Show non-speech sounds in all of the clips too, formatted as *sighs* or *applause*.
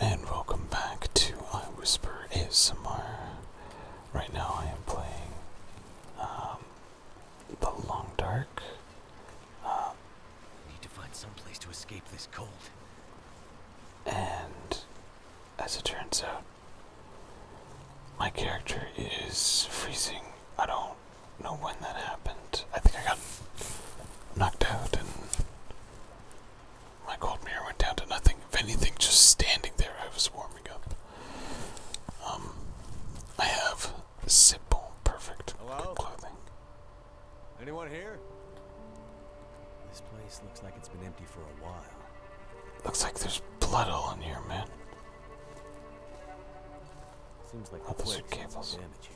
And welcome back to I Whisper ASMR. Right now I am playing um, The Long Dark. Um, need to find some place to escape this cold. And as it turns out, my character is freezing. I don't know when that happened. I think I got knocked out and my cold mirror went down to nothing. If anything, just standing there, I was warming up. Um, I have simple, perfect clothing. Anyone here? This place looks like it's been empty for a while. Looks like there's blood all in here, man. Seems like oh, those are cables. Damage here.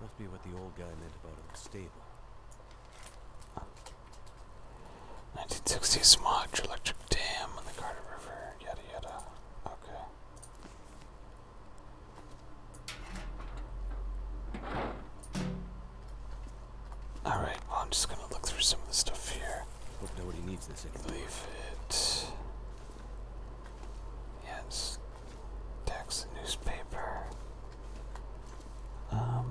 Must be what the old guy meant about a stable. 1960 smog, electric dam on the Carter River, yada yada. Okay. Alright, well I'm just gonna look through some of the stuff here. Hope nobody needs this anymore. Leave it. Yes. Text, newspaper. Um,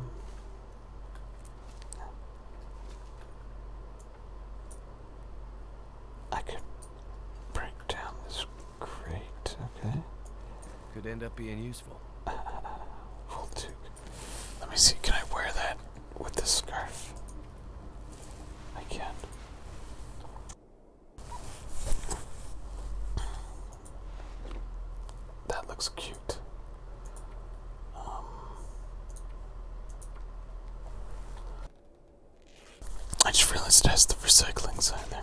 I could break down this crate, okay? Could end up being useful. Uh, *laughs* well, Let me see, can I wear that with this scarf? I can. That looks cute. Um, I just realized it has the recycling sign there.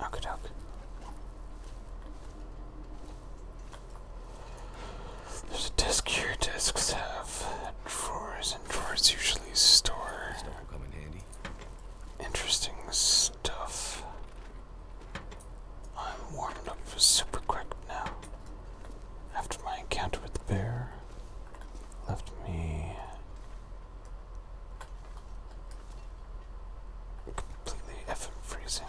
Okadok. There's a desk here. Desks have drawers, and drawers usually store. Interesting stuff. I'm warmed up super quick now. After my encounter with the bear, left me completely effing freezing.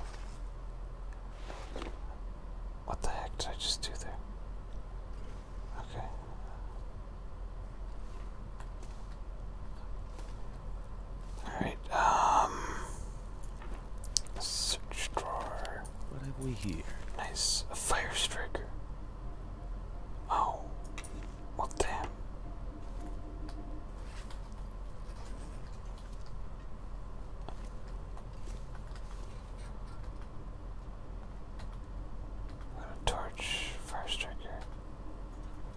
What the heck did I just do there? Okay. Alright, um search drawer. What have we here? Nice. fire striker. Oh. Well damn. I'm gonna torch fire striker.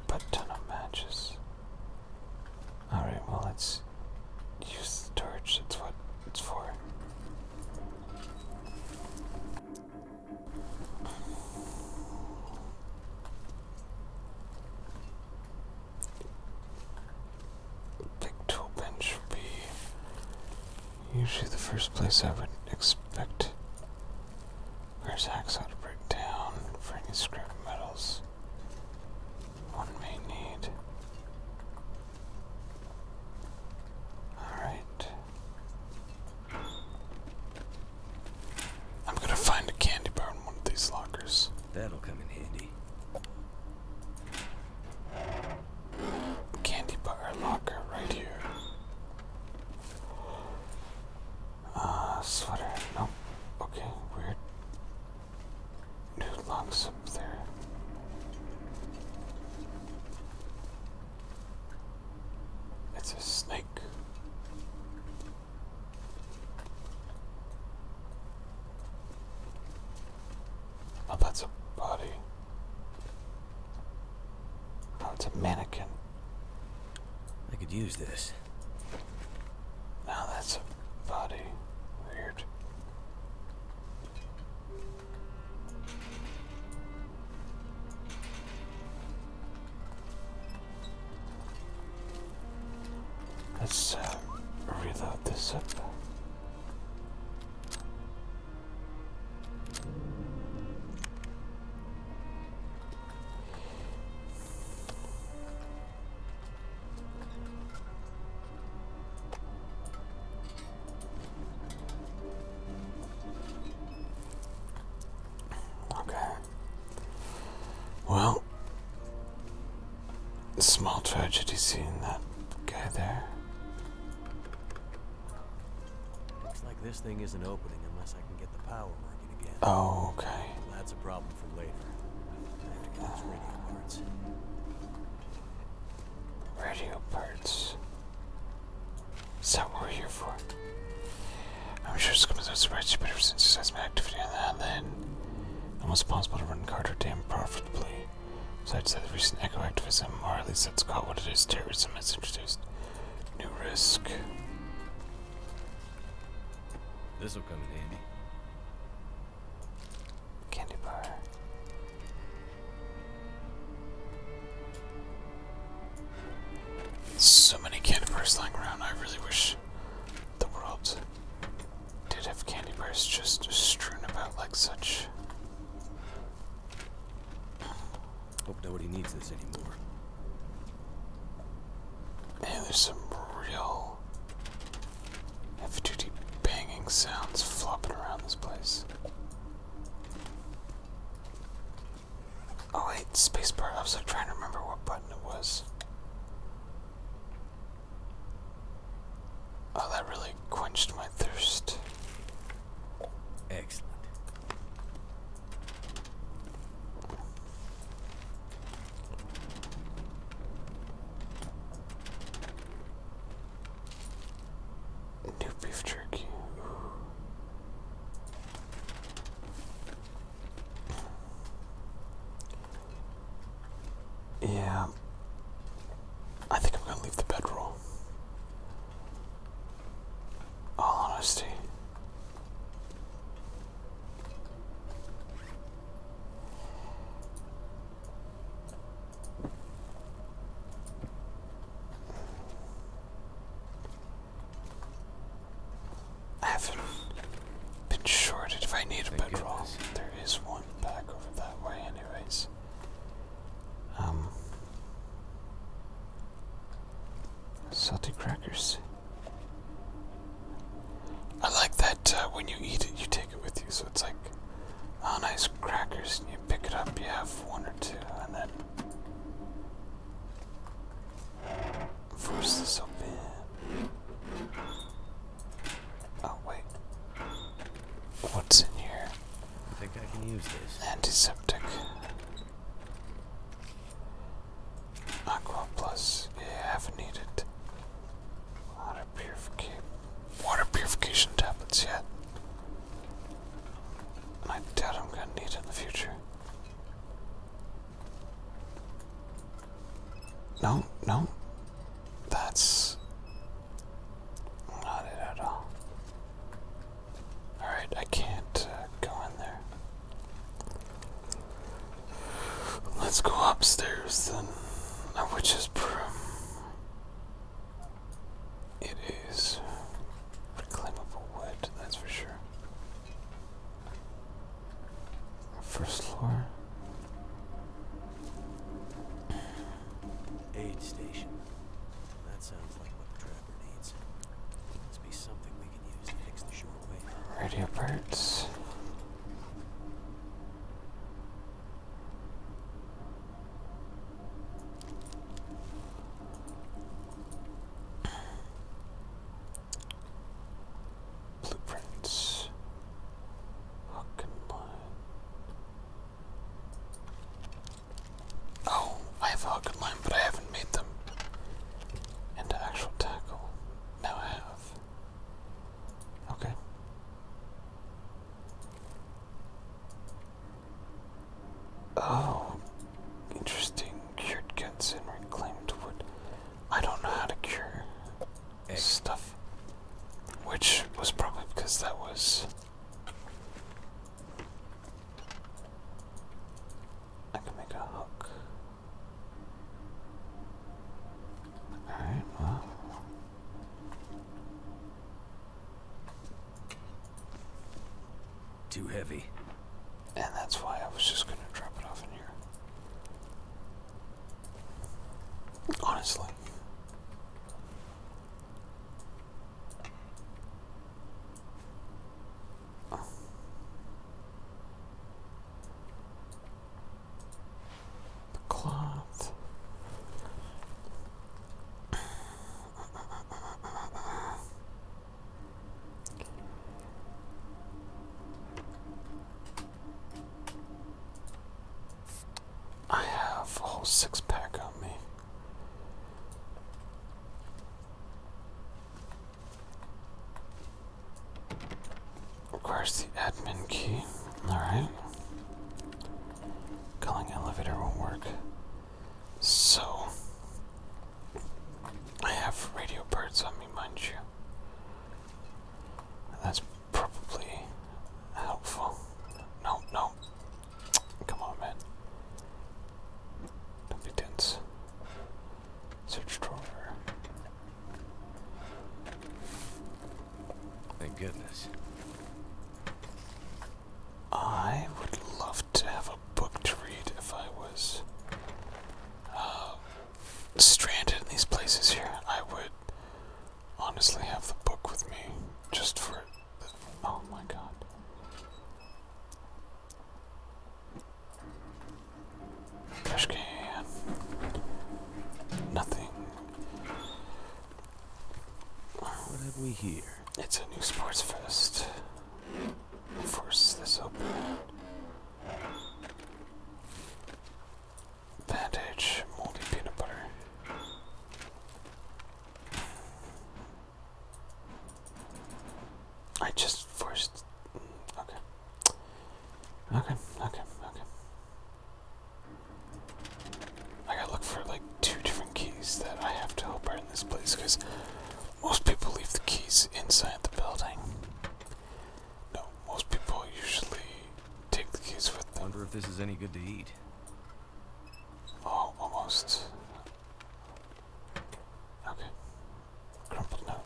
But ton of matches. Alright, well let's use the torch, that's what it's for. Big tool bench would be Usually the first place I would expect Where's hacksaw to break down for any scrap metals one may need. Alright. I'm gonna find a candy bar in one of these lockers. That'll come in handy. Candy bar locker right here. Uh, sweater. Nope. Okay, weird. New locks up there. It's a snake. Oh, that's a body. Oh, it's a mannequin. I could use this. Now that's a body. Weird. Let's uh, reload this up. Okay. Well, small tragedy seeing that guy there. Looks like this thing isn't opening unless I can get the power working again. Oh, okay. Well, that's a problem for later. I have to get those radio parts. Radio parts. Is that what we're here for? I'm sure it's coming as a surprise, but ever since you says my activity on that, then almost possible to run Carter damn profitably. Besides that, the recent eco activism, or at least that's called what it is, terrorism, has introduced New risk. This will come in handy. Candy bar. So many candy bars lying around. I really wish the world did have candy bars just strewn about like such. Hope nobody needs this anymore. Man, there's some real heavy banging sounds flopping around this place. Oh, wait, spacebar. I was like trying to remember what button it was. Oh, that really quenched my thirst. Excellent. New beef jerky. Yeah. I think I'm gonna leave the bedroom. All honesty. I haven't been shorted. If I need a bedroll, there is one back over that way anyways. Um Salty crackers. I like that uh, when you eat it, you take it with you, so it's like on oh, nice crackers, and you pick it up, you have one or two, and then force this open. Oh wait, what's in here? I think I can use this. Antiseptic. Aqua Plus, yeah, have needed water purification, water purification tablets yet. And I doubt I'm gonna need it in the future. No, no, that's not it at all. Alright, I can't uh, go in there. Let's go upstairs then. A uh, witch's broom. It is reclaimable wood, that's for sure. First floor. Aid station. That sounds like what the ever something we can use to fix the shortwave. Radio parts. Blueprints. Hook and line. Oh, I have a Hook Line, but I haven't made them into actual tackle. Now I have. Okay. Oh, interesting. Cured guts and reclaimed wood. I don't know how to cure eh. stuff. Which was probably because that was I can make a hook. Alright, well. Too heavy. And that's why I was just gonna drop it off in here. Honestly. I have a whole six pack on me. Requires the admin key. Alright. Calling elevator won't work. So, I have radio parts on me, mind you. That's probably helpful. No, no. Come on, man. Don't be tense. Search drawer. Thank goodness. I would love to have a book to read if I was uh, stranded in these places here. I would honestly have the book with me just for. Oh my god. Trash can. Nothing. What have we here? It's a new sports vest. force this open. Bandage, moldy peanut butter. I just forced. Mm, okay. Okay, okay, okay. I gotta look for like two different keys that I have to help her in this place because most people leave the keys inside the building. No, most people usually take the keys with them. Wonder if this is any good to eat. Oh, almost. Okay. Crumpled note.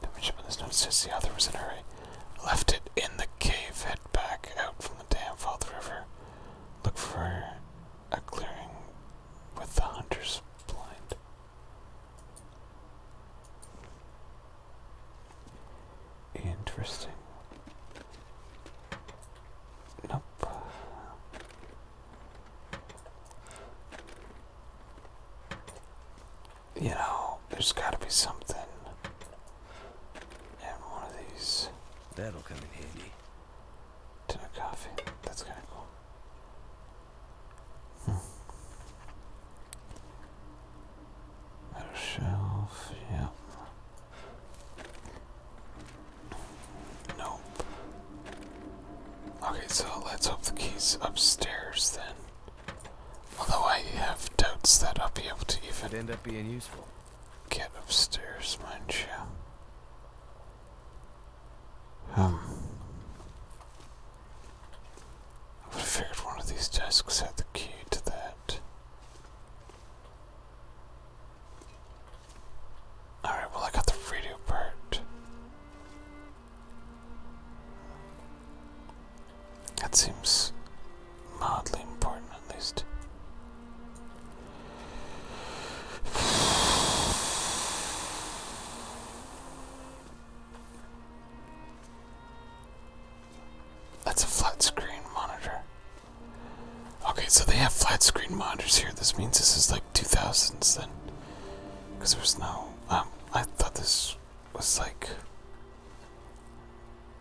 The midshipman this note says the author was in hurry. Left it in the cave, head back out from the dam, follow the river. Look for a clearing with the hunter's blind. Interesting. Nope. You know, there's gotta be something in one of these. That'll come in handy. Tin of coffee. That's kinda cool. Hmm. Metal shelf, yeah. Nope. Okay, so let's hope the key's upstairs then. Although I have doubts that I'll be able to even end up being useful. Get upstairs, mind you. Um I would have figured one of these desks had the key to that. Alright, well, I got the radio part. That seems mildly important, at least. That's a flat screen monitor. Okay, so they have flat screen monitors here. This means this is like 2000s then. Because there was no. Um, I thought this was like.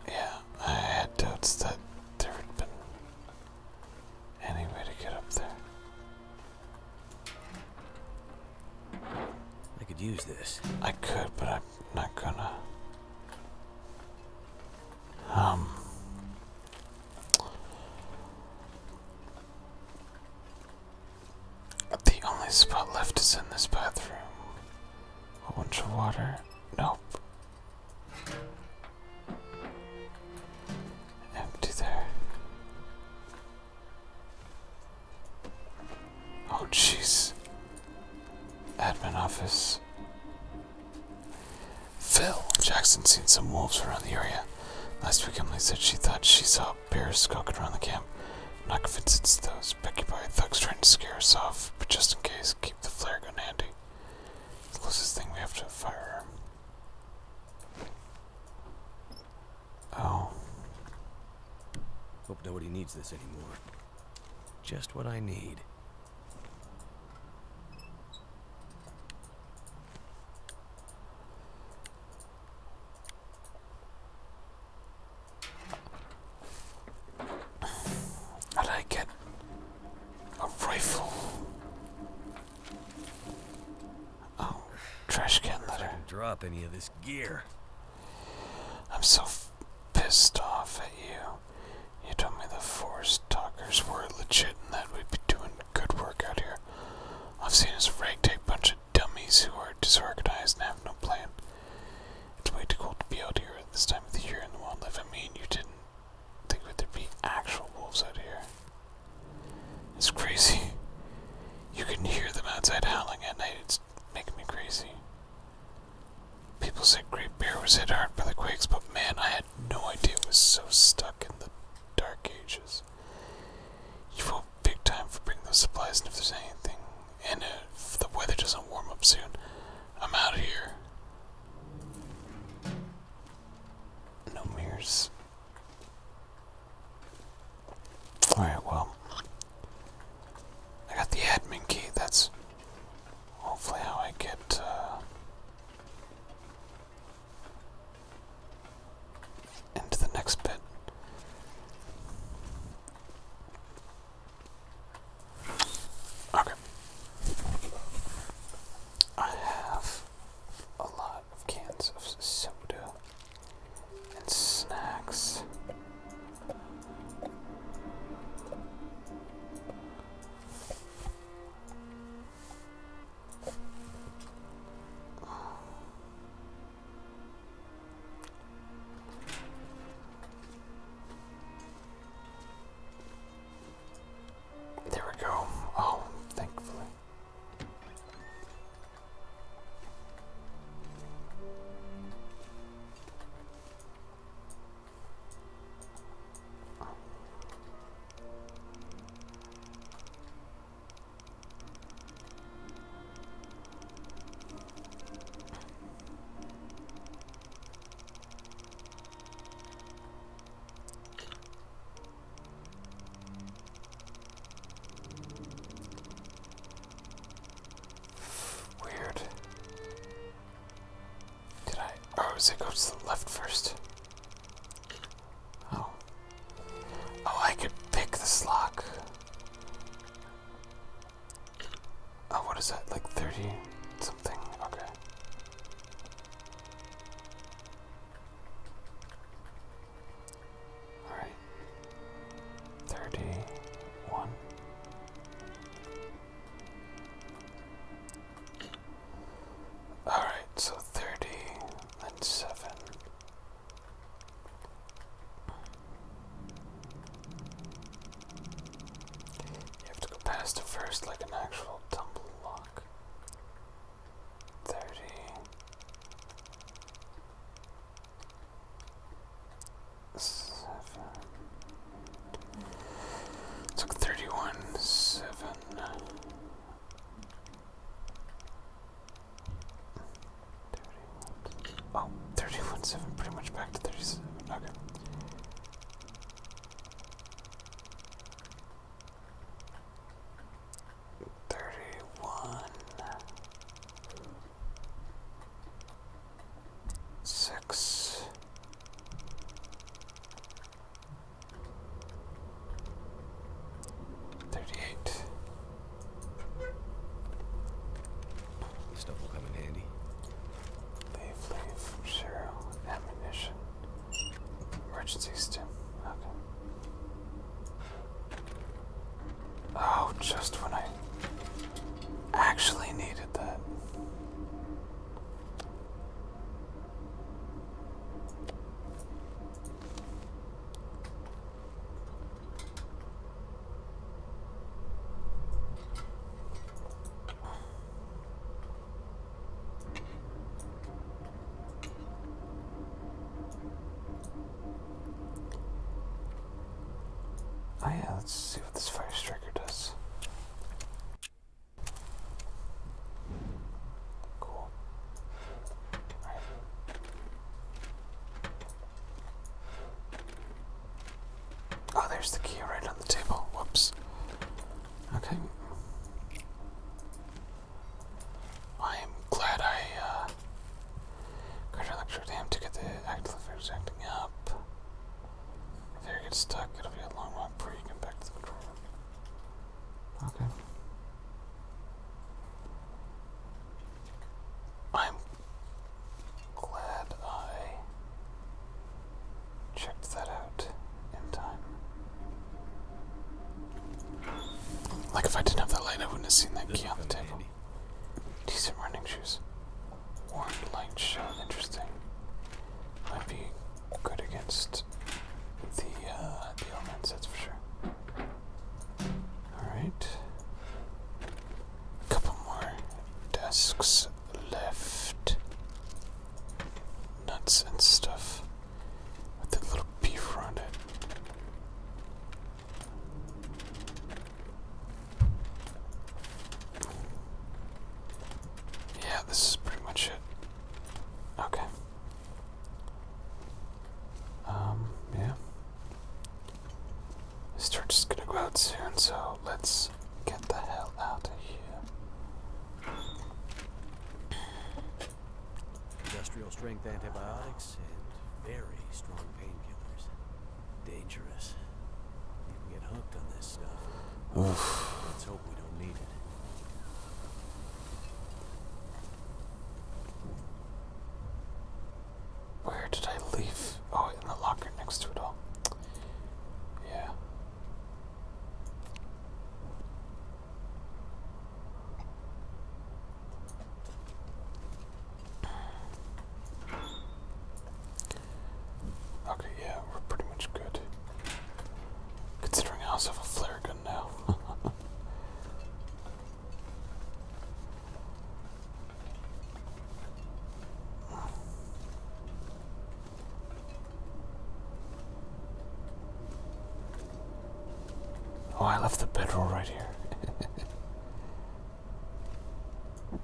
Yeah, I had doubts that there had been any way to get up there. I could use this. I could, but I'm not gonna. Um. The only spot left is in this bathroom. A bunch of water. Nope. Empty there. Oh, jeez. Admin office. Phil, Jackson seen some wolves around the area. Last week, Emily said she thought she saw bears skulking around the camp. I'm not convinced it's those Becky-Boy thugs trying to scare us off, but just in case, keep the flare gun handy. It's the closest thing we have to a firearm. Oh. Hope nobody needs this anymore. Just what I need. How did I get a rifle? Oh, trash can litter. Drop any of this gear. I'm so pissed off at you. You told me the forest talkers were legit and that we'd be doing good work out here. I've seen is ragtag bunch of dummies who are disorganized and have no plan. It's way too cold to be out here at this time of the year in the wildlife. I mean, you didn't think there'd be actual wolves out here. It's crazy. You can hear them outside howling at night. It's making me crazy. People said Great Bear was hit hard by the quakes, but man, I had no idea it was so stuck in the Dark Ages. You will big time for bringing those supplies, and if there's anything, and if the weather doesn't warm up soon, I'm out of here. No mirrors. Alright, well. I got the admin key. That's hopefully how I get uh, into the next bit. Okay. I have a lot of cans of soda and snacks. There we go. Oh, thankfully. Weird. Did I? Oh, does it go to the left first? Oh. Oh, I could pick this lock. Oh, what is that? Like 30 something? Okay. Alright. 31. Alright, so 30 and 7. You have to go past it first like an actual tumble lock. 30. Seven. thirty-one, seven. 31. 7, pretty much back to 37. Thirty-one, six, Thirty-eight. This stuff will come in handy. Leave, leave, Cheryl, ammunition, emergency stim. Okay. Oh, just when I actually needed that. Oh yeah, let's see what this fire striker does. Cool. Oh, there's the key right on the table. Whoops. Okay. I am glad I got uh, a lecture to get the active acting up. If they get stuck, it'll be a long while before you get back to the control room. Okay. I'm glad I checked that out in time. Like, if I didn't have that light, I wouldn't have seen that key on the table. Decent running shoes. Warned light show. Interesting might be good against the uh, the elements, that's for sure. All right, a couple more desks left. Nuts and stuff with the little beaver on it. Yeah, this is pretty much it. Okay. Um, yeah. This church is gonna go out soon, so let's get the hell out of here. Industrial strength antibiotics and very strong painkillers. Dangerous. You can get hooked on this stuff. Oof. Let's hope we don't need it. Where did I leave? Oh, in the locker next to it all. Yeah. Okay, yeah, we're pretty much good. Considering I also have a flare gun now. *laughs* oh, I left the bedroll right here. *laughs*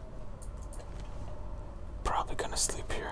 Probably gonna sleep here.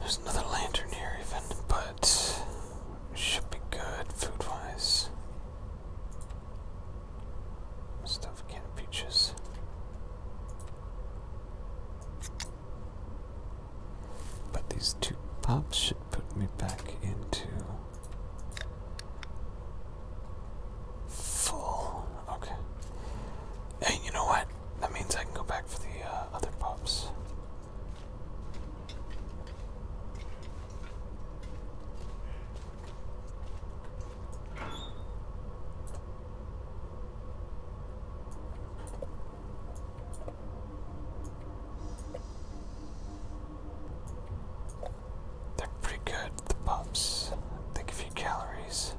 There's another lantern here, even, but should be good food wise. Stuff can peaches. But these two pops should put me back into full. Okay. Hey, you know what? That means I can go back for the uh, other pups. They're pretty good, the pups. They give you calories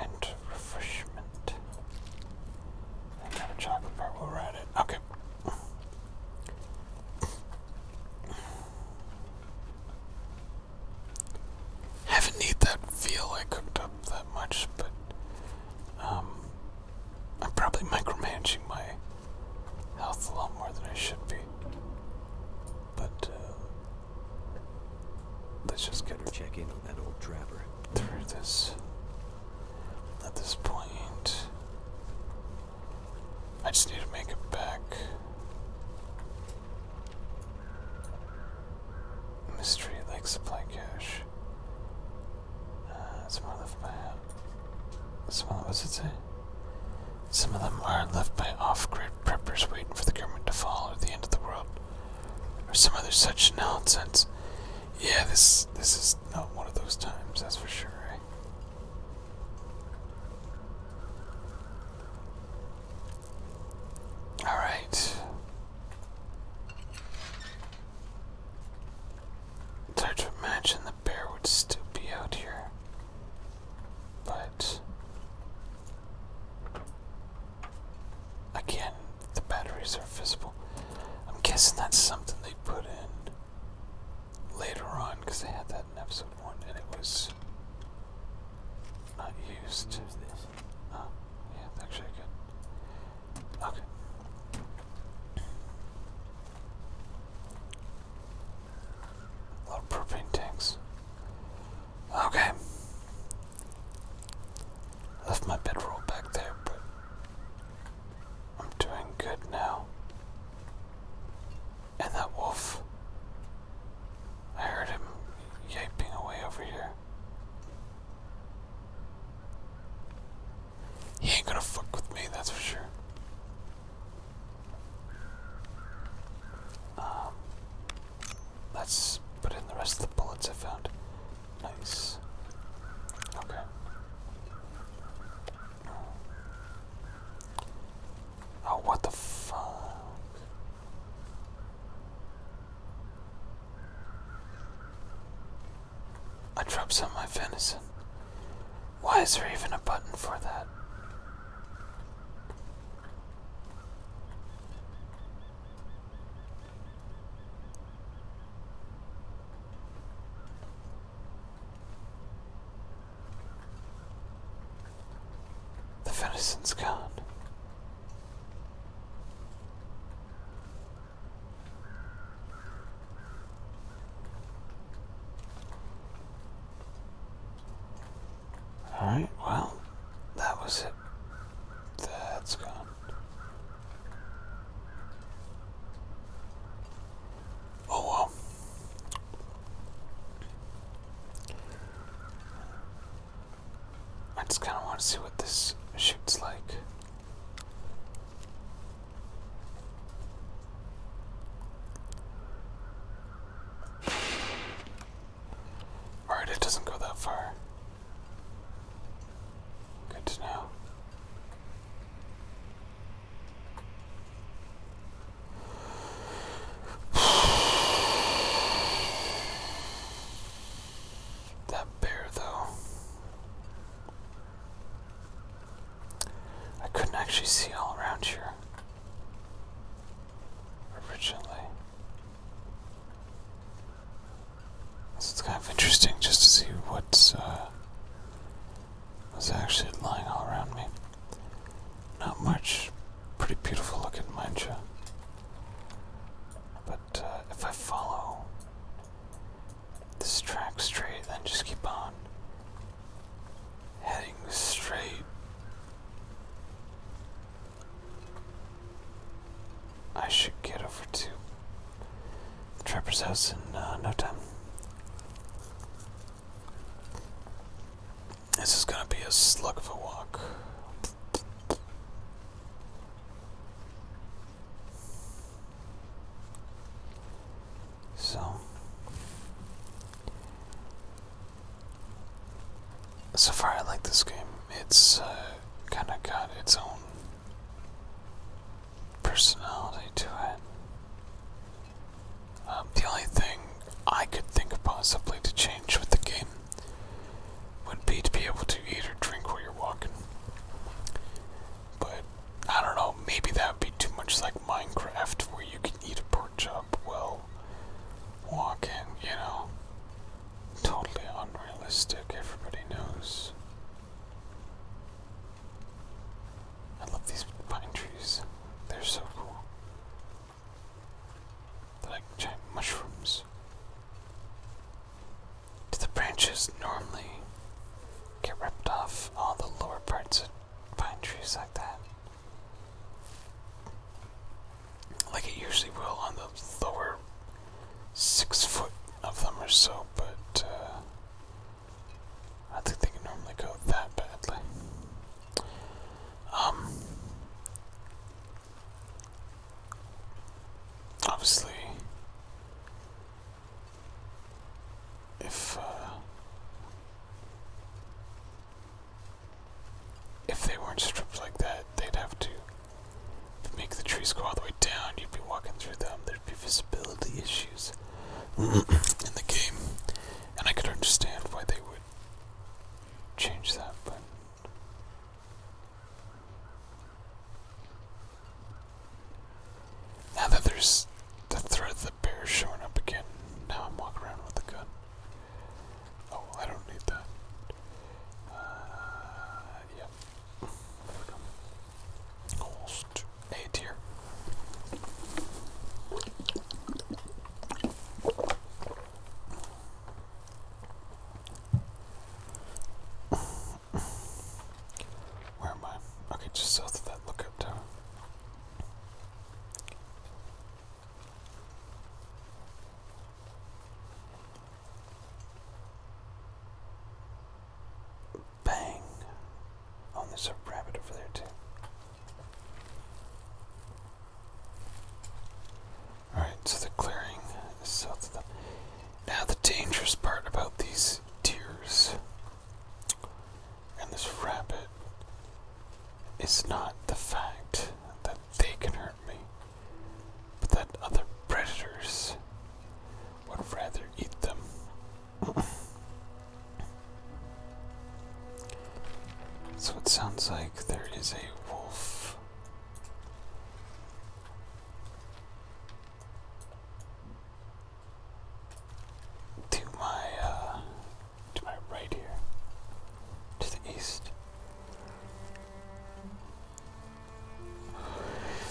and refreshment. I have a chocolate bar. We'll ride it. Okay. Haven't need that veal I cooked up that much, but um, I'm probably micromanaging my health a lot more than I should be. But uh, Let's just get her check in on that old drabber. Through this at this point. I just need to make it back. Mystery Lake supply cache. some are left by some of what's it say? Some of them are left by off-grid preppers waiting for the government to fall or the end of the world or some other such nonsense. Yeah, this this is not one of those times, that's for sure. Eh? All right. hard to imagine the bear would still be out here, but Again, the batteries are visible. I'm guessing that's something they put in later on because they had that in episode 1 and it was not used. Oh, yeah, actually good. Okay. lot of propane tanks. Okay. Left my bedroll back there, but I'm doing good now. And that wolf. I heard him yaping away over here. He ain't gonna fuck with me, that's for sure. Um, Let's put in the rest of the bullets I found. Nice. Okay. Oh, what the fuck? I dropped some of my venison. Why is there even a button for that? The venison's gone. Alright, well, that was it. That's gone. Oh well. I just kind of want to see what this shoots like. Alright, it doesn't go that far. Good to know. *sighs* That bear, though. I couldn't actually see all around here originally. So it's kind of interesting just to see uh, what's actually lying all around me. Not much. Pretty beautiful looking, mind you. But uh, if I follow this track straight, then just keep on heading straight. I should get over to the Trapper's house in uh, no time. This is gonna be a slug of a walk. So, so far, I like this game. It's uh, kind of got its own personality to it. Um, the only thing I could think of possibly to change with the game would be to be able to eat or drink while you're walking. But I don't know, maybe that would be too much like Minecraft where you can eat a pork chop while walking, you know? totally unrealistic, everybody knows. I love these pine trees, they're so cool. They're like giant mushrooms. Do the branches normally get ripped off all the lower parts of pine trees like that? like it usually will on the lower six foot of them or so, but uh, I think they can normally go that badly. Um, obviously, if uh, if they weren't stripped like that, they'd have to make the trees go all the way down. You'd be walking through them. There'd be visibility issues *clears throat* in the game, and I could understand why they would change that, but. Now that there's the threat of the bear showing up again, now I'm walking around with a gun. Oh, I don't need that. Uh, yeah. Almost A tier. Where am I? Okay, just south of that lookout tower. Bang. Oh, there's a rabbit over there, too. Alright, so the clearing is south Now, the dangerous part about these deers and this rabbit is not the fact that they can hurt but that other predators would rather eat them. *coughs* so it sounds like there is a wolf. To my uh, to my right here. To the east.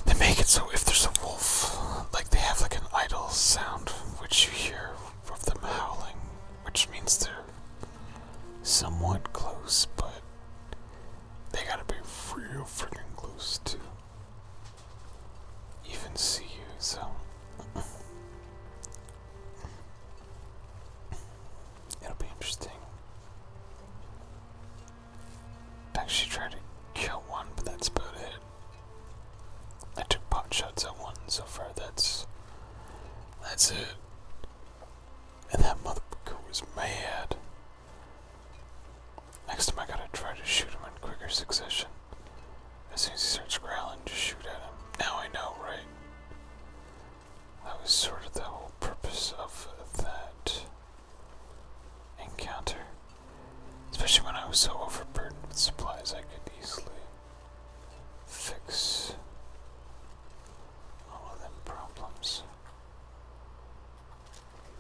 They make it so if there's a wolf, like they have like an idle sound which you hear of them howling, which means they're somewhat close, but they gotta be real freaking close to even see you, so. It'll be interesting. Actually tried to kill one, but that's about it. I took pot shots at one so far, that's that's it. And that motherfucker was mad. Next time I gotta try to shoot him in quicker succession. As soon as he starts growling, just shoot at him. Now I know, right? That was sort of the whole purpose of that encounter. Especially when I was so overburdened with supplies, I could easily fix all of them problems.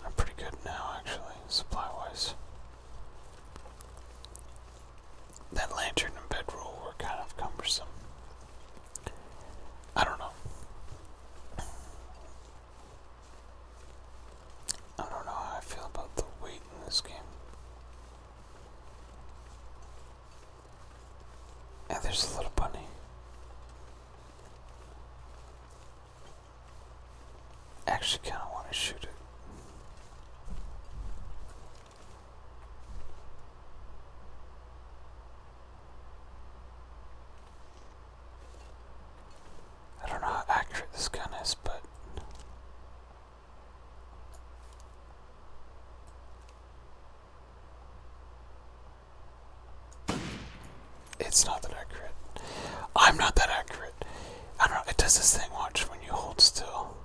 I'm pretty good now, actually, supply wise. That lantern and bedroll were kind of cumbersome. I don't know. I don't know how I feel about the weight in this game. And there's a little bunny. Actually, kind of want to shoot it. I don't know how accurate this gun is, but. It's not that accurate. I'm not that accurate. I don't know. It does this thing, watch, when you hold still.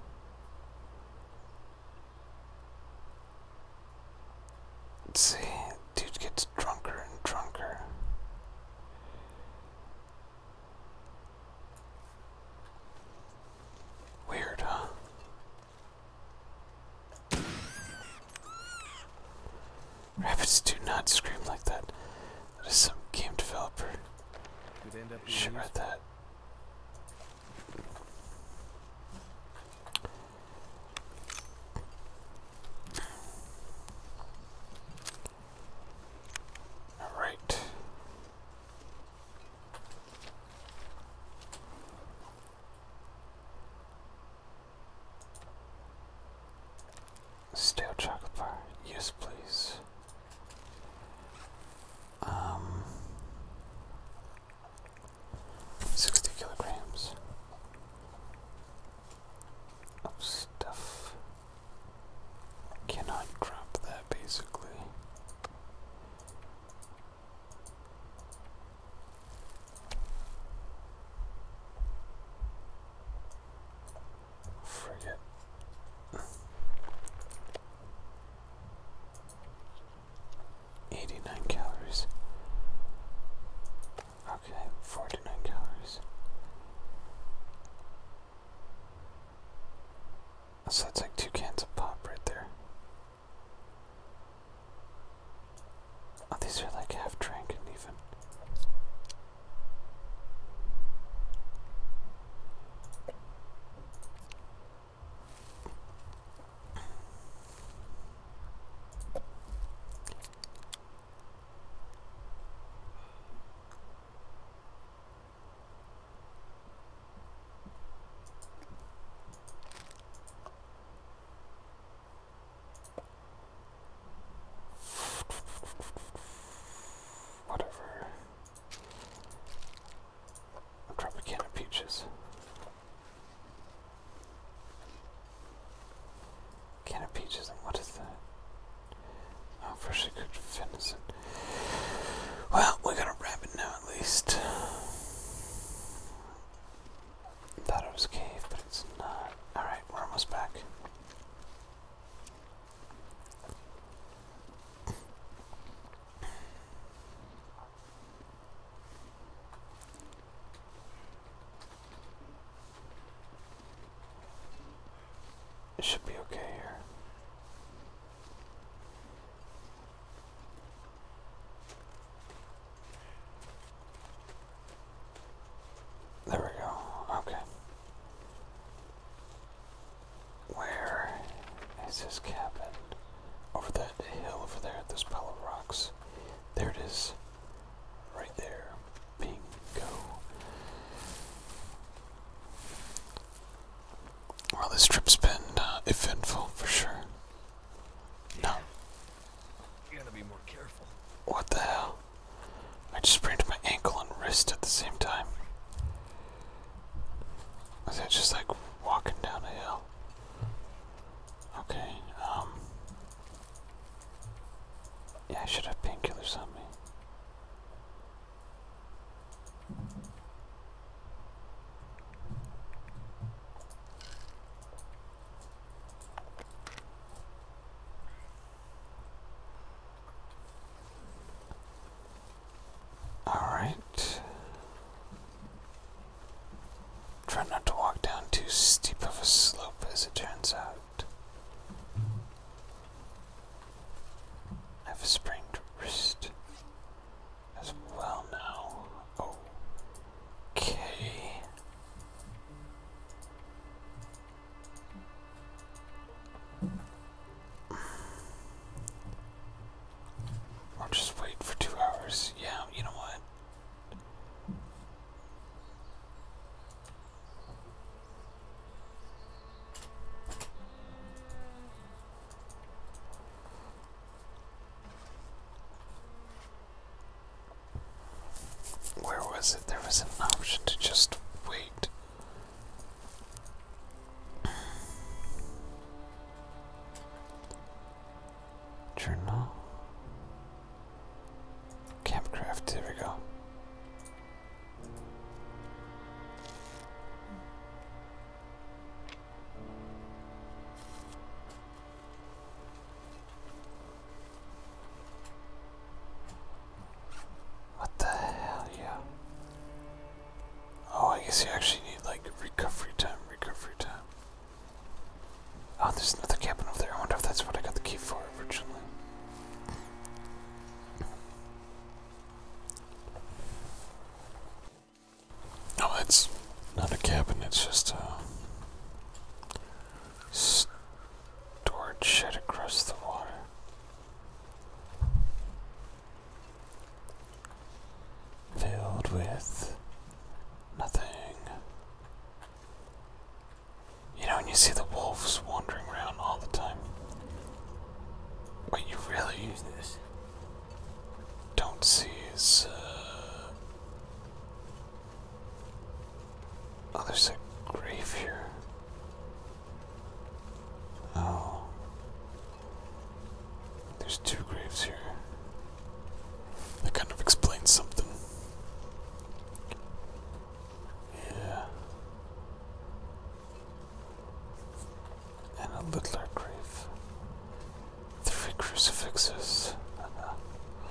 Let's see, dude gets drunker and drunker. Weird, huh? Rabbits do not scream like that. That is some game developer. Should read that. All right. Stale chocolate bar, yes, please. Um, 60 kilograms of stuff. Cannot drop that basically. Forget. 89 calories. Okay, 49 calories. So that's like two cans of pop right there. Oh, these are like half drank and even. Whatever. I'll drop a can of peaches. Can peaches and what is that? Oh, could finish it. Well, we got a rabbit now at least. Thought it was cave, but it's not. Alright, we're almost back. It should be okay here. There we go. Okay. Where is this cabin? Over that hill over there, this pile of rocks. There it is. Right there. Bingo. Well, this trip's been uh, eventful for sure. No. You gotta be more careful. What the hell? I just sprained my ankle and wrist at the same time. Was that just like walking down a hill? Okay, um. Yeah, I should have painkillers on me. All right. Try not to walk down too steep of a slope, as it turns out. I have a sprained wrist as well now. Okay. Or just wait for two hours. Yeah, you know what? Where was it? There was an option to just wait. Journal. Campcraft, there we go. What the hell, yeah. Oh, I guess you actually need like recovery time, recovery time. Oh, there's another cabin over there. I wonder if that's what I got the key for originally. Oh, that's not a cabin, it's just a uh, storage shed across the water. Filled with nothing. You know, when you see the wolves wandering around all the time. What you really use this don't see is uh, Oh there's a grave here. Oh there's two graves here. That kind of explains something. Yeah. And a littler grave. Three crucifixes.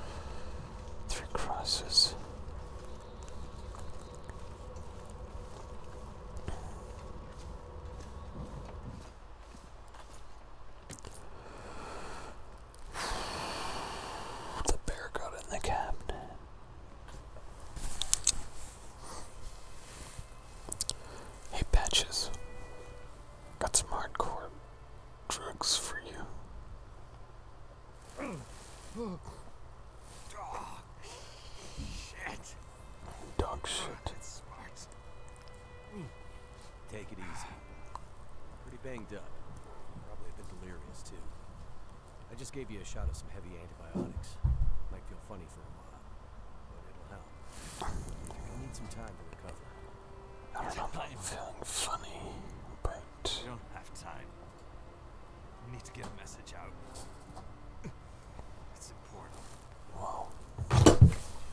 *laughs* Three crosses. The bear got in the cabinet. Hey, Patches. Got some hardcore drugs for you. Oh, shit. Dog shit. Take it easy. Pretty banged up. Probably a bit delirious, too. I just gave you a shot of some heavy antibiotics. Might feel funny for a while, but it'll help. You need some time to recover. I don't know I'm feeling funny, but... You don't have time. You need to get a message out. It's important. Wow.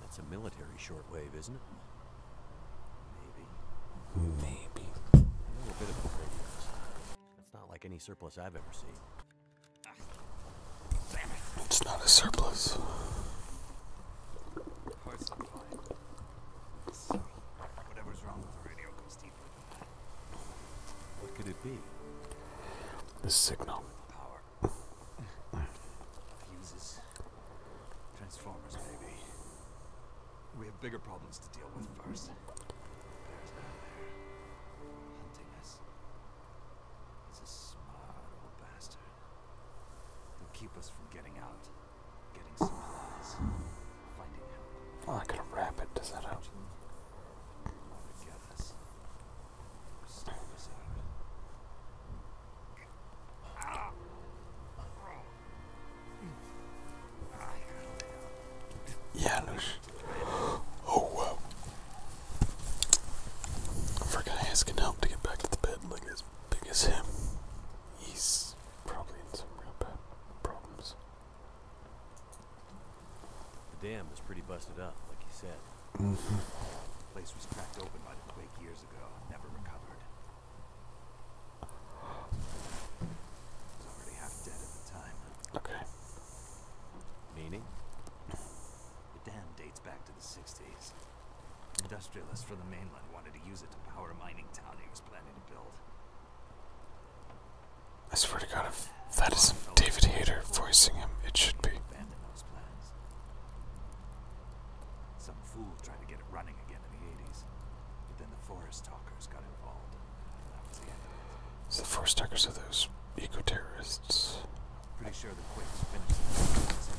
That's a military shortwave, isn't it? Maybe. Maybe. A little bit of a radios. That's not like any surplus I've ever seen. Damn it. It's not a surplus. What could it be? The signal. *laughs* Transformers, maybe. We have bigger problems to deal with first. Bears out there, hunting us. He's a smart old bastard. They'll keep us from getting out, getting supplies, finding help. Oh, I could wrap it. Does that help? Janusz. Oh wow. I forgot asking help to get back to the bed like as big as him. He's probably in some real bad problems. The dam is pretty busted up, like you said. Mm -hmm. The place was cracked open by the quake years ago, never recovered. Okay. Meaning? The dam dates back to the 60s. Industrialists from the mainland wanted to use it to power a mining town he was planning to build. I swear to God, if that isn't David Hayter voicing him, it should be. Some fool tried to get it running again in the 80s, but then the forest talkers got involved, and the forest talkers of those eco-terrorists. Pretty sure the Quakes finished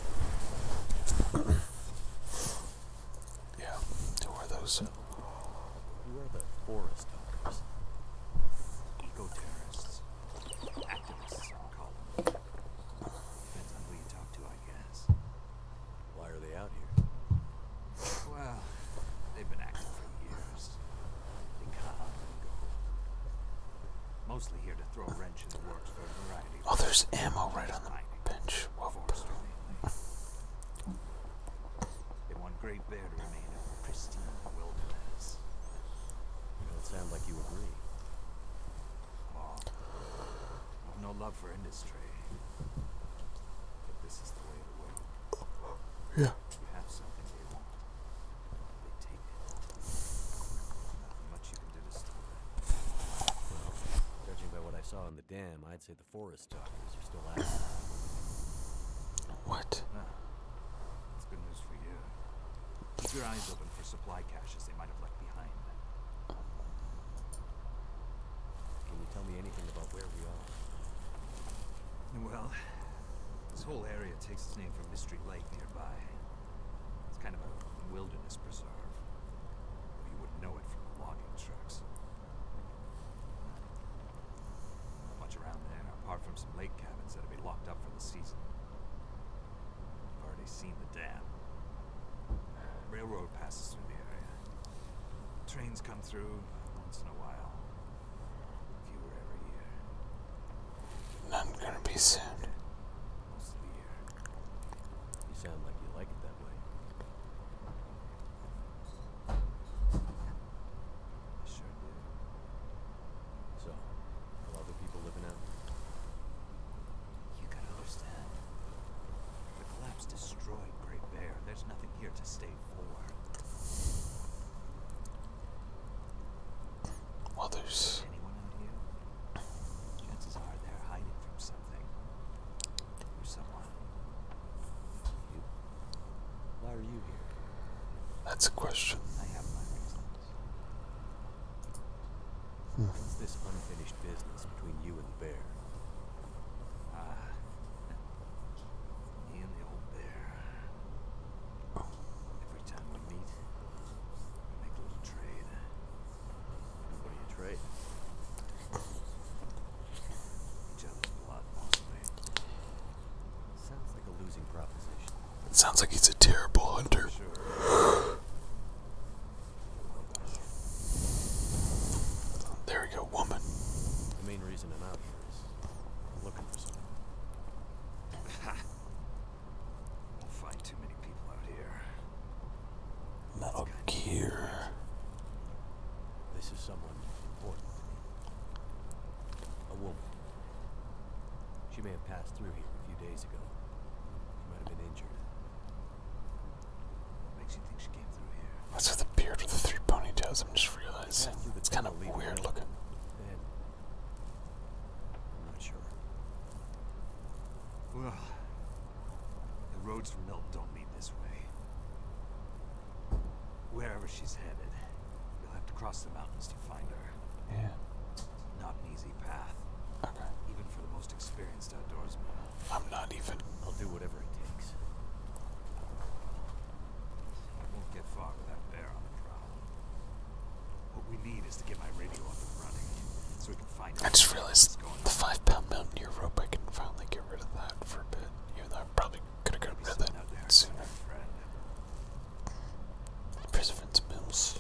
Yeah, who are those? Uh, who are the forest talkers? Eco-terrorists. Activists, call them. Depends on who you talk to, why are they out here? Well, they've been acting for years. They come and go. Mostly here to throw a wrench in the works for variety Oh, there's ammo right on the bench. They want Great Bear to remain a pristine wilderness. You don't sound like you agree. I've no love for industry. But this is the way of the world. Yeah. judging by what I saw in the dam, I'd say the forest talkers are still active. What? Ah, that's good news for you. Keep your eyes open for supply caches in well, this whole area takes its name from Mystery Lake nearby. It's kind of a wilderness preserve. You wouldn't know it from the logging trucks. Not much around there, apart from some lake cabins that have been locked up for the season. I've already seen the dam. Railroad passes through the area. Trains come through once in a while. Fewer every year. Not gonna be soon. Most of the year. You sound like you like it that way. sure do. So, are other people living out? You gotta understand. The collapse destroyed Great Bear. There's nothing here to stay for. Well, there's. Chances are they're hiding from something. Or someone. Why are you here? That's a question. What's this unfinished business between you and the bear? Ah, and the old bear. Every time we meet, we make a little trade. what do you trade? Each other's blood, mostly. Sounds like a losing proposition. sounds like he's a terrible hunter. *gasps* There we go, woman. The main reason I'm out here is looking for something. we'll find too many people out here. Metal Gear. This is someone important to me. A woman. She may have passed through here a few days ago. She might have been injured. Makes What's with the beard with the three ponytails? I'm just realizing it's kind of weird looking. I'm not sure. Well, the roads from Milk don't lead this way. Wherever she's headed, we will have to cross the mountains to find her. Yeah. Not an easy path. Even for the most experienced outdoorsman. I'm not even. I'll do whatever it takes. I won't get far with that bear on the prowl. What we need is to get my radio up and running, so we can find. I just realized the five-pound mountaineer rope. I can finally get rid of that for a bit, even though I probably could have gotten rid of that sooner. President's Mills.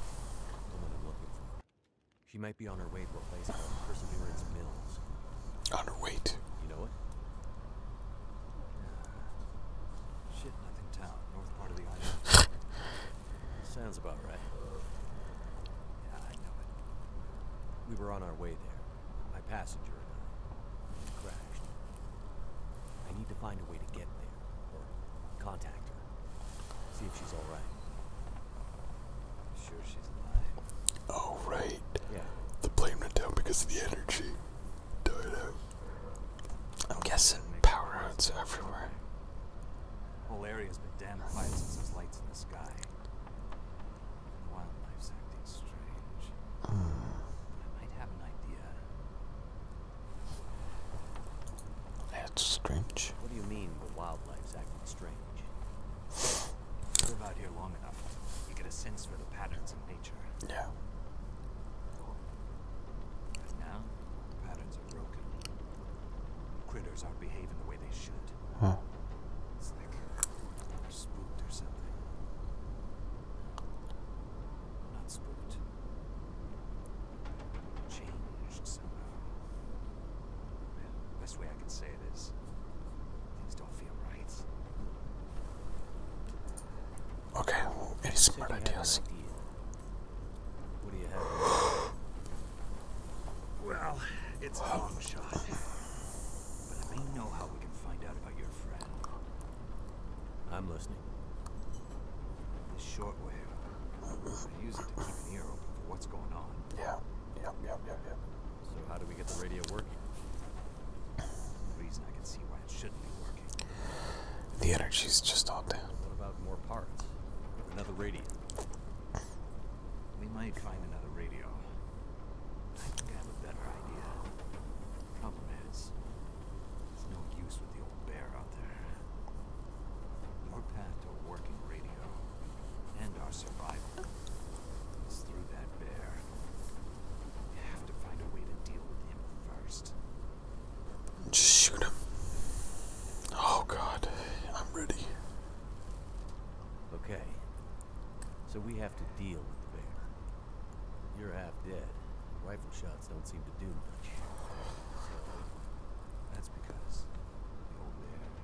She might be on her way to a place called Perseverance Mills. On her way You know what? *sighs* Shit, nothing town, north part of the island. *laughs* Sounds about right. Yeah, I know it. We were on our way there. My passenger and I crashed. I need to find a way to get there or contact her. See if she's all right. Sure, she's alive. Oh right. Yeah. The plane went down because of the energy. Died out. I'm guessing power outs everywhere. Whole area's been damn quiet since there's lights in the sky. wildlife's acting strange. Hmm. I might have an idea. It's strange. What do you mean the wildlife's acting strange? Live *sighs* out here long enough, you get a sense for the patterns in nature. Yeah. But now, patterns are broken. Critters aren't behaving the way they should. Huh. It's like they're spooked or something. Not spooked. Changed best way I can say it is things don't feel right. Okay, any smart ideas? well, it's a oh. long shot. But I may know how we can find out about your friend. I'm listening. The shortwave they use it to keep an ear open for what's going on. Yeah. Yep, yep, yep, yep. So how do we get the radio working? The reason I can see why it shouldn't be working. The energy's just all down. What about more parts? Another radio. We might find another radio. I think I have a better idea. Problem is, there's no use with the old bear out there. Your path to working radio and our survival is through that bear. You have to find a way to deal with him first. Just shoot him. Oh god, I'm ready. Okay. So we have to deal with the bear. You're half dead. Rifle shots don't seem to do much. that's because the old bear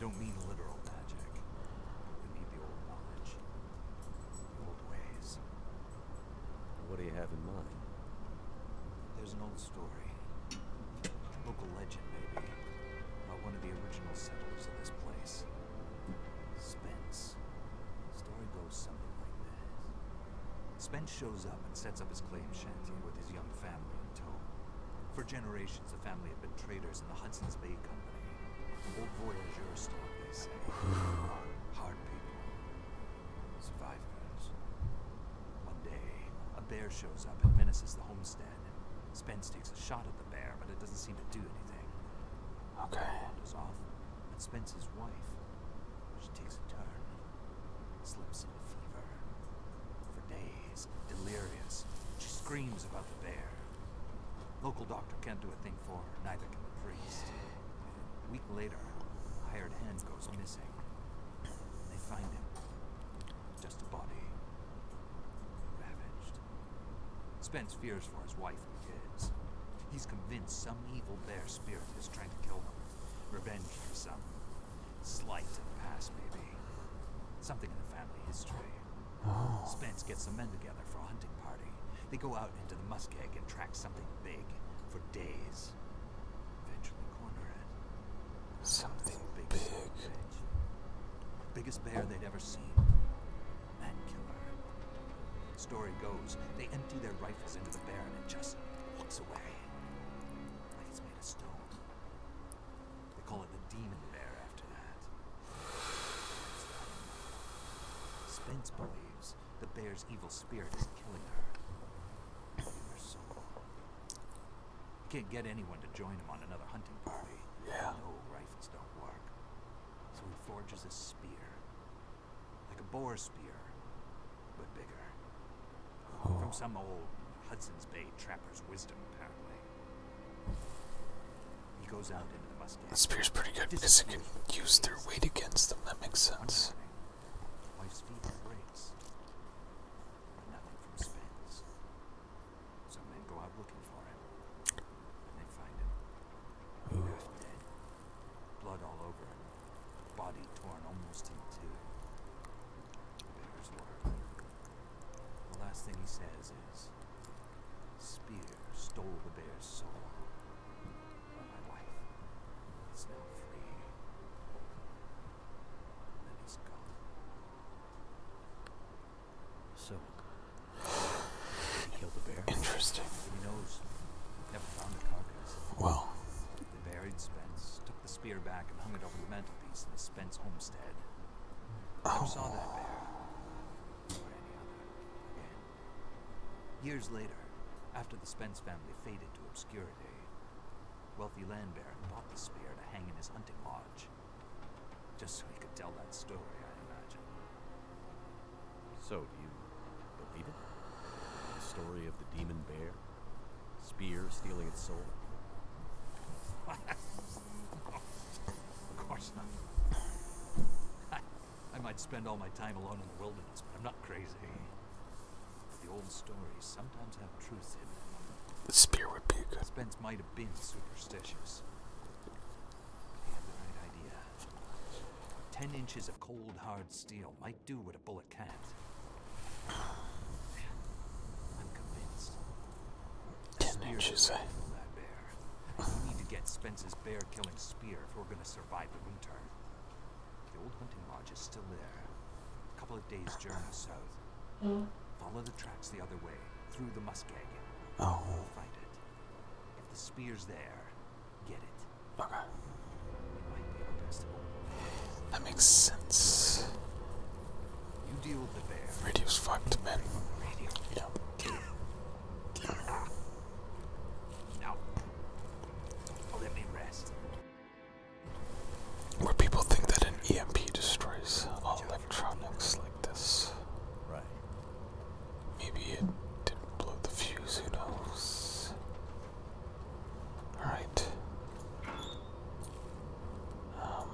don't mean literal magic. We need the old knowledge, the old ways. What do you have in mind? There's an old story. Local legend, maybe. About one of the original settlers of this place. Spence. story goes something like this. Spence shows up and sets up his claim shanty with his young family in tow. For generations, generations, the family had been traders in the Hudson's Bay Company. Old voyageur stock, they say. *sighs* Hard people. Survivors. One day, a bear shows up and menaces the homestead. Spence takes a shot at the bear, but it doesn't seem to do anything. Okay. Wanders off, and Spence's wife, she takes a turn, slips into fever. For days, delirious, she screams about the bear. Local doctor can't do a thing for her, neither can the priest. A week later, a hired hand goes missing. They find him. Just a body. Ravaged. Spence fears for his wife and kids. He's convinced some evil bear spirit is trying to kill them. Revenge for some slight in the past, maybe. Something in the family history. Spence gets some men together for a hunting party. They go out into the muskeg and track something big for days. Eventually corner it. Something big. Biggest bear they'd ever seen. Story goes, they empty their rifles into the bear and it just walks away. Like it's made of stone. They call it the Demon Bear after that. Spence believes the bear's evil spirit is killing her. He can't get anyone to join him on another hunting party. Yeah. No rifles don't work. So he forges a spear. Like a boar spear, but bigger. Oh. From some old Hudson's Bay trapper's wisdom, apparently. He goes out into the Mustang. The spear's pretty good because it can use their weight against them. That makes sense. Wife's feet breaks. Nothing from Spence. Some men go out looking for him. And they find him. Ooh. dead. Blood all over him. Body torn almost in two. There's water. The last thing he says Spear stole the bear's soul. my wife is now free. And he's gone. So he killed the bear. Interesting. He knows. Never found the carcass. Well. They buried Spence, took the spear back and hung it over the mantelpiece in the Spence homestead. I oh. saw that bear. Years later, after the Spence family faded to obscurity, wealthy land baron bought the spear to hang in his hunting lodge. Just so he could tell that story, I imagine. So, do you believe it? The story of the demon bear? Spear stealing its soul? *laughs* Of course not. *laughs* I, might spend all my time alone in the wilderness, but I'm not crazy. The old stories sometimes have truth in them. The spear would be good. Spence might have been superstitious. But the right idea. Ten inches of cold, hard steel might do what a bullet can't. *sighs* I'm convinced. Ten inches. Eh? We need to get Spence's bear killing spear if we're gonna survive the winter. The old hunting lodge is still there. A couple of days' journey south. Follow the tracks the other way, through the muskeg. Oh. find it. If the spear's there, get it. Okay. That makes sense. You deal with the bear. Radio's fucked, man. Radio. *laughs* Now, oh, let Where people think that an EMP destroys electronics like this. Right. Maybe it didn't blow the fuse, who knows? Alright. Um,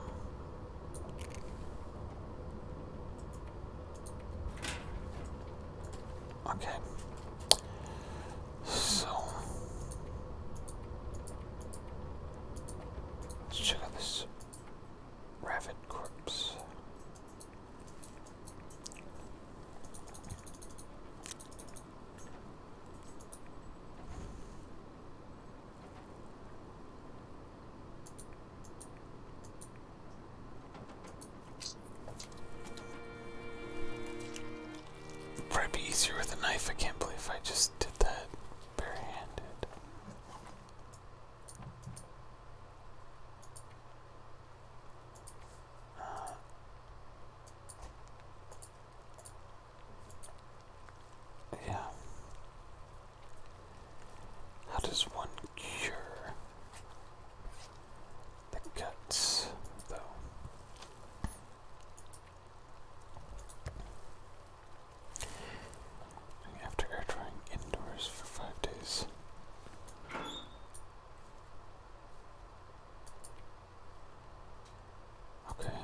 Okay. So let's check out this rabbit corpse probably be easier with a knife. I can't believe I just did that barehanded. Uh, yeah. How does one cure the cuts, though? After air drying indoors for five days. Okay.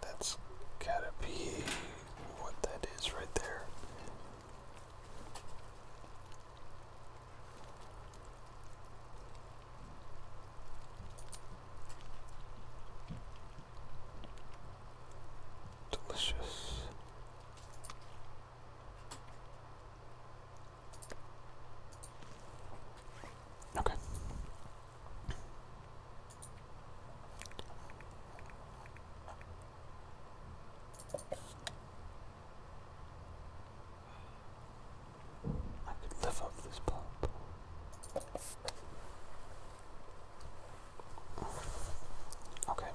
That's gotta be what that is right there. Delicious. Okay. I could live off this pub. Okay.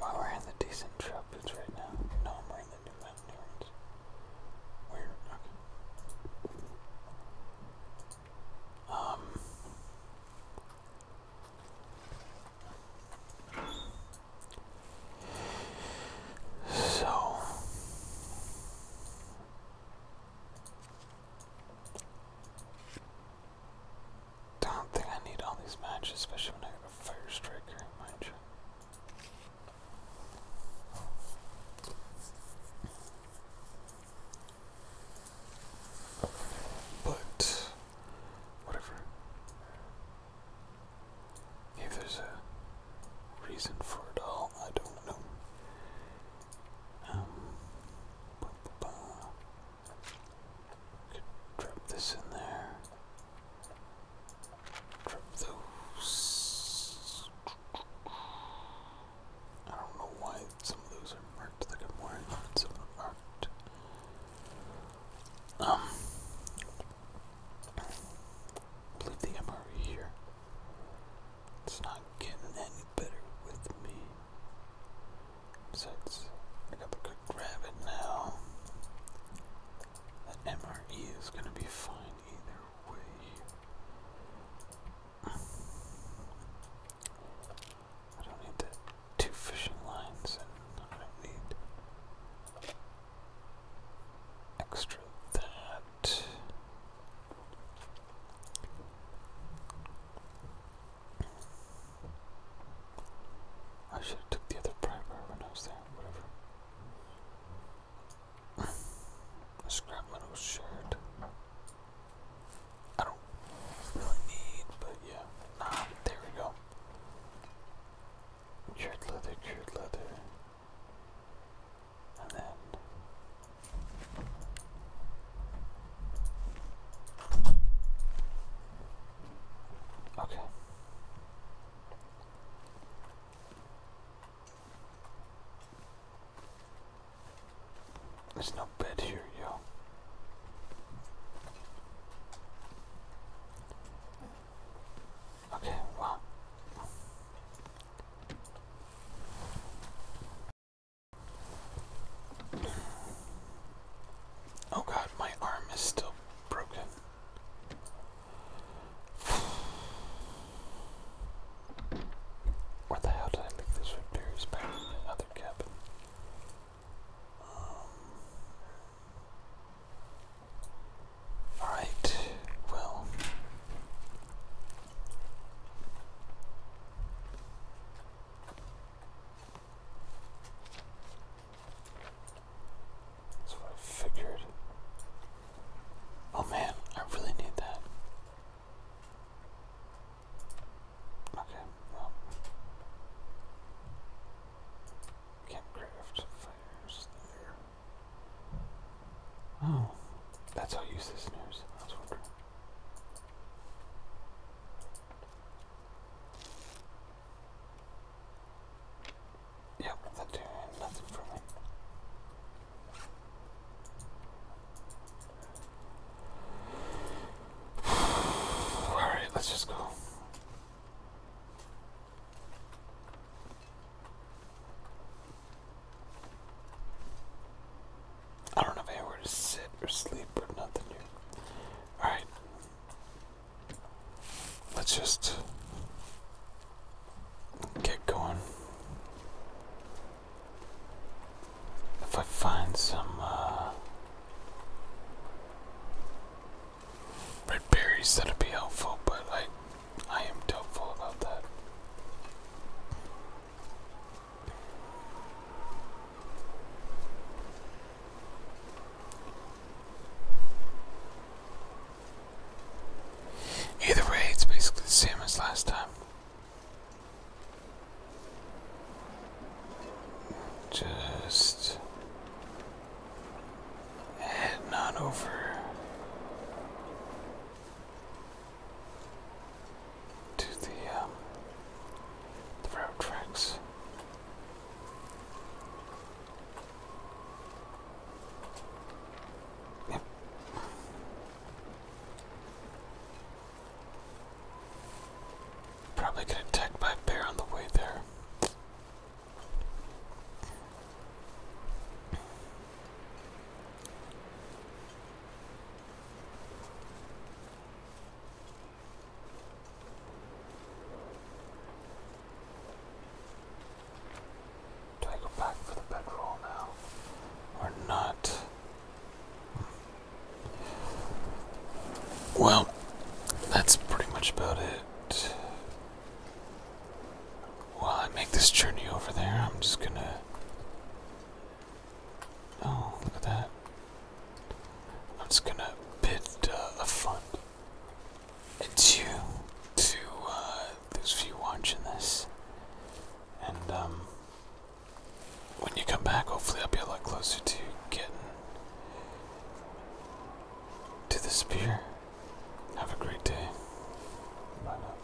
Well, we're in the decent tropics right now. No, we're in the New Mountain Weird, okay. Um. So, don't think I need all these matches, especially when I have a fire striker, mind you. But whatever. If there's a reason for it all, I don't know. Um, drop this in there. Drop those. I don't know why some of those are marked that I'm wearing and some are marked. Um, I the MRE here. It's not getting any better with me. Besides, I got the quick rabbit now. That MRE is gonna be fine either way. I don't need the two fishing lines, and I don't need extra that. I should have took the other primer when I was there, whatever. I just my little shirt. I don't really need, but yeah. Ah, there we go. Cured leather, cured leather. And then Okay. There's no bed here, yo. Okay, wow. Oh god, my arm is still broken. Where the hell did I leave this with berries in the other cabin? Um, Alright, well, that's what I figured. Oh man, I really need that. Okay, Campcraft fires there. Oh, that's how useless news. I was Yep, that nothing for me. *sighs* Alright, let's just go. I don't have anywhere to sit or sleep or nothing here. Alright. Let's just get going. If I find some uh, red berries, that would be helpful, but I, I am doubtful about that. Either way, it's basically the same as last time. Just heading on over to the, um, tracks. Probably get attacked by bear on the way there. Do I go back for the bedroll now or not? Well, that's pretty much about it. While I make this journey over there, I'm just gonna Oh, look at that. I'm just gonna bid uh, a fund. It's you to uh, those few watching this. And um, when you come back, hopefully I'll be a lot closer to getting to the spear. Have a great day. Bye now.